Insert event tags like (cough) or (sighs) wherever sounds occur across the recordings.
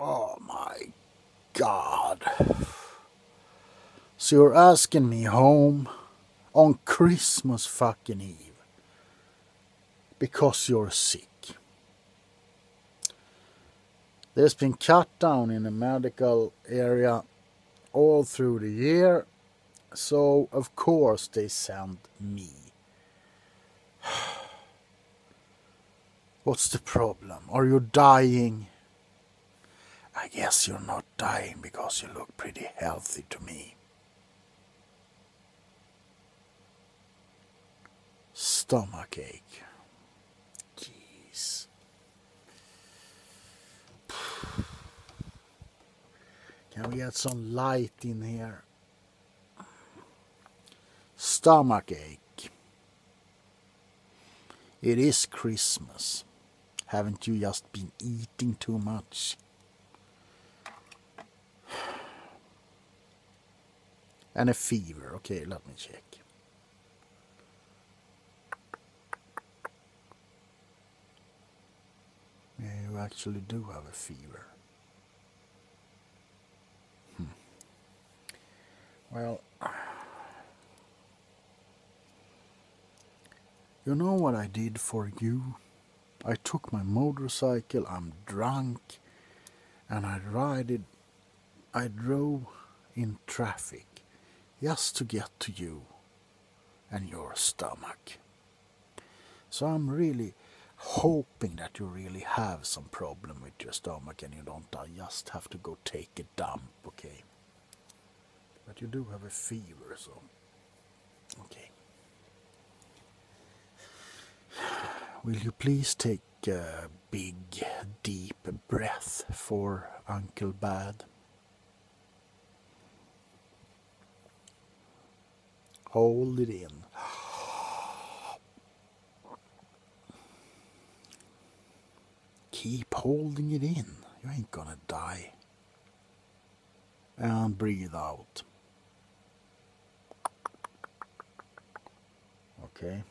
Oh my God. So you're asking me home on Christmas fucking Eve because you're sick. There's been cut down in the medical area all through the year so, of course, they sent me. (sighs) What's the problem? Are you dying? I guess you're not dying because you look pretty healthy to me. Stomach ache. Jeez. (sighs) (sighs) Can we get some light in here? Stomach ache. It is Christmas. Haven't you just been eating too much? And a fever. Okay, let me check you actually do have a fever. Hmm. Well, (sighs) you know what I did for you? I took my motorcycle, I'm drunk, and I ride I drove in traffic just to get to you and your stomach. So I'm really hoping that you really have some problem with your stomach and you don't uh, just have to go take a dump, okay? But you do have a fever, so okay. Will you please take a big, deep breath for Uncle Bad? Hold it in. Keep holding it in. You ain't gonna die. And breathe out. Okay.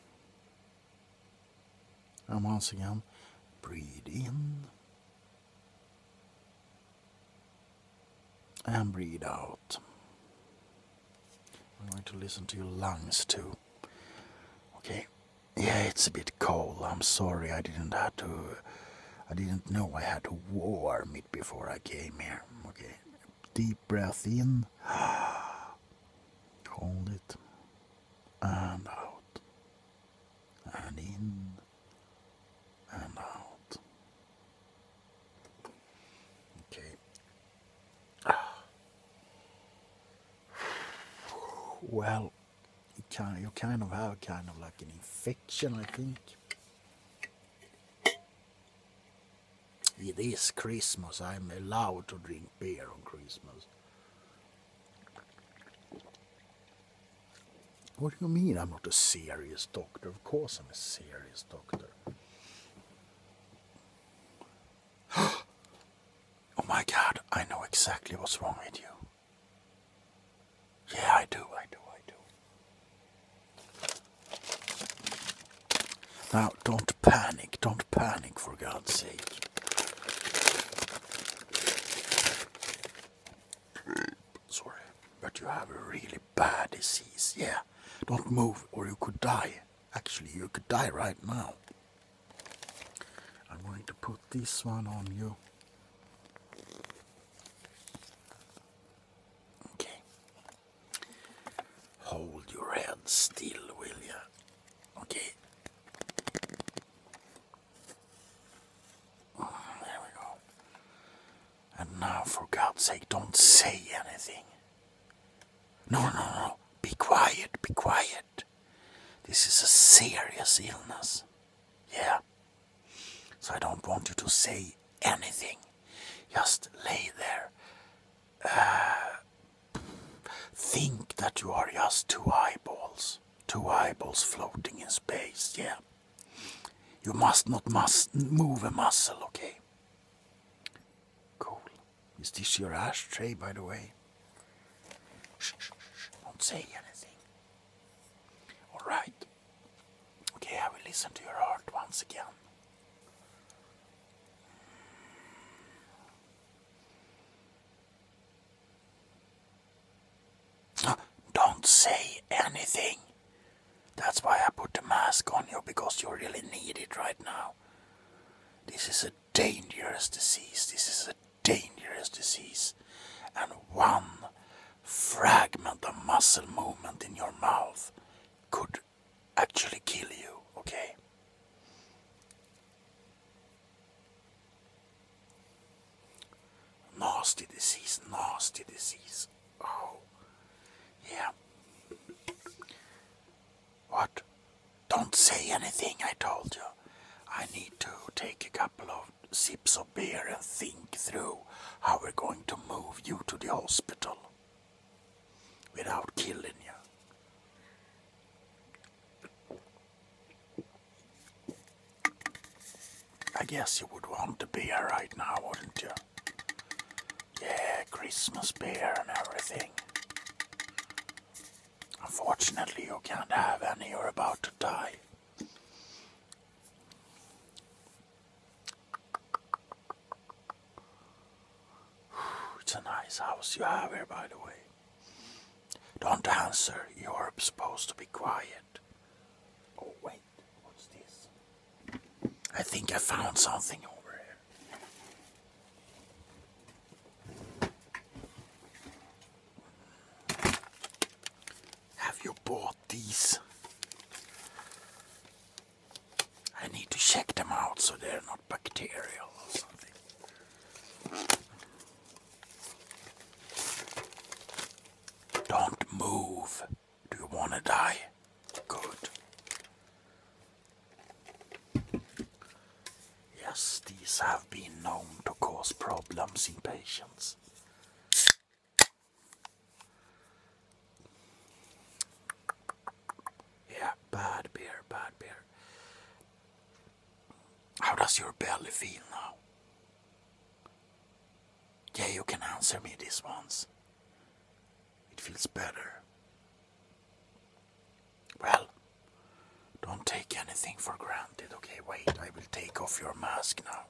And once again, breathe in and breathe out. I'm going to listen to your lungs too. Okay. Yeah, it's a bit cold. I'm sorry I didn't have to. I didn't know I had to warm it before I came here. Okay. Deep breath in. (sighs) Hold it. And out. And in and out. Okay. (sighs) Well, you kind of, you kind of have kind of like an infection, I think. It is Christmas. I'm allowed to drink beer on Christmas. What do you mean I'm not a serious doctor? Of course I'm a serious doctor. (gasps) oh my god, I know exactly what's wrong with you. Yeah, I do, I do, I do. Now, don't panic, don't panic for God's sake sorry, but you have a really bad disease. Yeah, don't move or you could die. Actually, you could die right now. I'm going to put this one on you. Okay. Hold your head still, will you? Okay. There we go. And now, for God's sake, don't say anything. No, no, no. Be quiet, be quiet. This is a serious illness. Yeah. So I don't want you to say anything. Just lay there. Uh, think that you are just two eyeballs. Two eyeballs floating in space, yeah. You must not must move a muscle, okay? Cool. Is this your ashtray, by the way? Shh, shh, shh. Don't say anything. All right. Okay, I will listen to your heart once again. Don't say anything. That's why I put the mask on you because you really need it right now. This is a dangerous disease. This is a dangerous disease. And one fragment of muscle movement in your mouth could actually kill you, okay? Nasty disease, nasty disease. Oh, yeah. What? Don't say anything, I told you. I need to take a couple of sips of beer and think through how we're going to move you to the hospital without killing you. I guess you would want to be here right now, wouldn't you? Yeah, Christmas beer and everything. Unfortunately, you can't have any, you're about to die. It's a nice house you have here, by the way. Don't answer. You're supposed to be quiet. Oh, wait. What's this? I think I found something over here. Have you bought these? I need to check them out so they're not bacterial or something. Don't move. Do you want to die? Good. Yes, these have been known to cause problems in patients. Yeah, bad beer, bad beer. How does your belly feel now? Yeah, you can answer me this once. It feels better. Well, don't take anything for granted, okay? Wait, I will take off your mask now.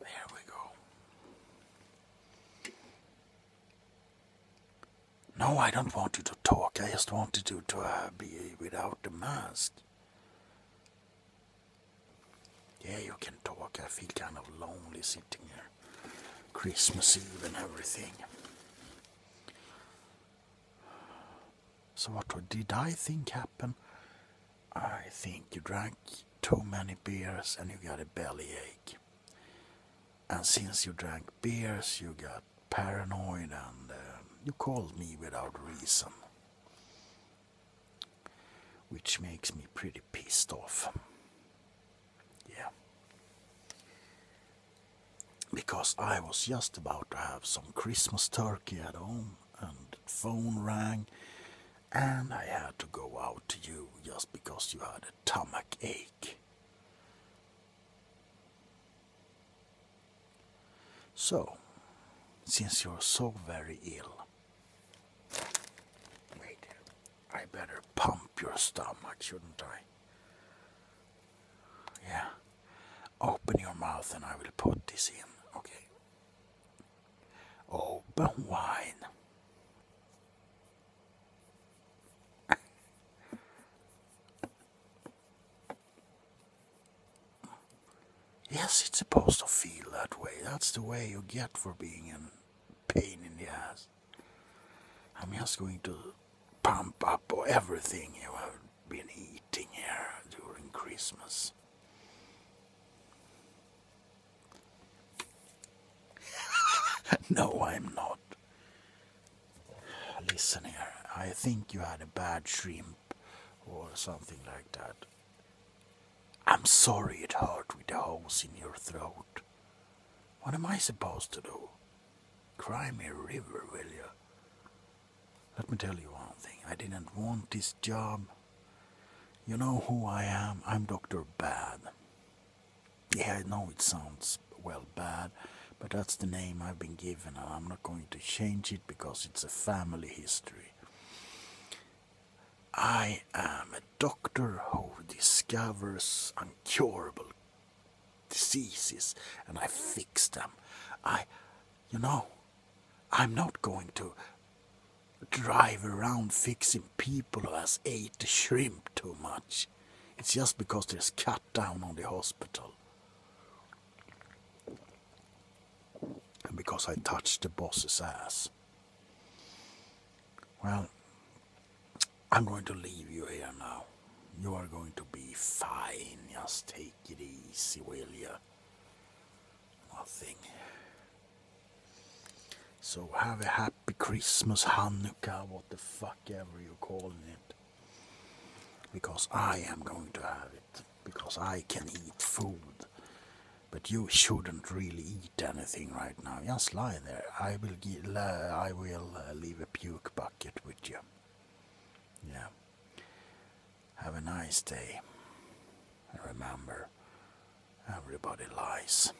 There we go. No, I don't want you to talk. I just wanted you to uh, be without the mask. Yeah, you can talk. I feel kind of lonely sitting here. Christmas Eve and everything. So, what did I think happened? I think you drank too many beers and you got a bellyache. And since you drank beers, you got paranoid and um, you called me without reason. Which makes me pretty pissed off. Yeah. Because I was just about to have some Christmas turkey at home and the phone rang and I had to go out to you just because you had a stomach ache. So, since you're so very ill, wait, I better pump your stomach, shouldn't I? Yeah. Open your mouth and I will put this in, okay? Open wide yes, it's supposed to feel that way. That's the way you get for being in pain in the ass. I'm just going to pump up everything you have been eating here during Christmas. (laughs) no, I'm not. Listen here, I think you had a bad shrimp or something like that. I'm sorry it hurt with the hose in your throat. What am I supposed to do? Cry me a river, will you? Let me tell you one thing. I didn't want this job. You know who I am? I'm Dr. Bad. Yeah, I know it sounds well bad, but that's the name I've been given, and I'm not going to change it because it's a family history. I am a doctor who discovers incurable diseases and I fix them. I, you know, I'm not going to drive around fixing people who have ate shrimp too much. It's just because there's cut down on the hospital. And because I touched the boss's ass. Well, I'm going to leave you here now. You are going to be fine. Just take it easy, will you? Nothing. So have a happy. Happy Christmas, Hanukkah, what the fuck ever you're calling it. Because I am going to have it. Because I can eat food. But you shouldn't really eat anything right now. Just lie there. I will, I will uh, leave a puke bucket with you. Yeah. Have a nice day. And remember, everybody lies.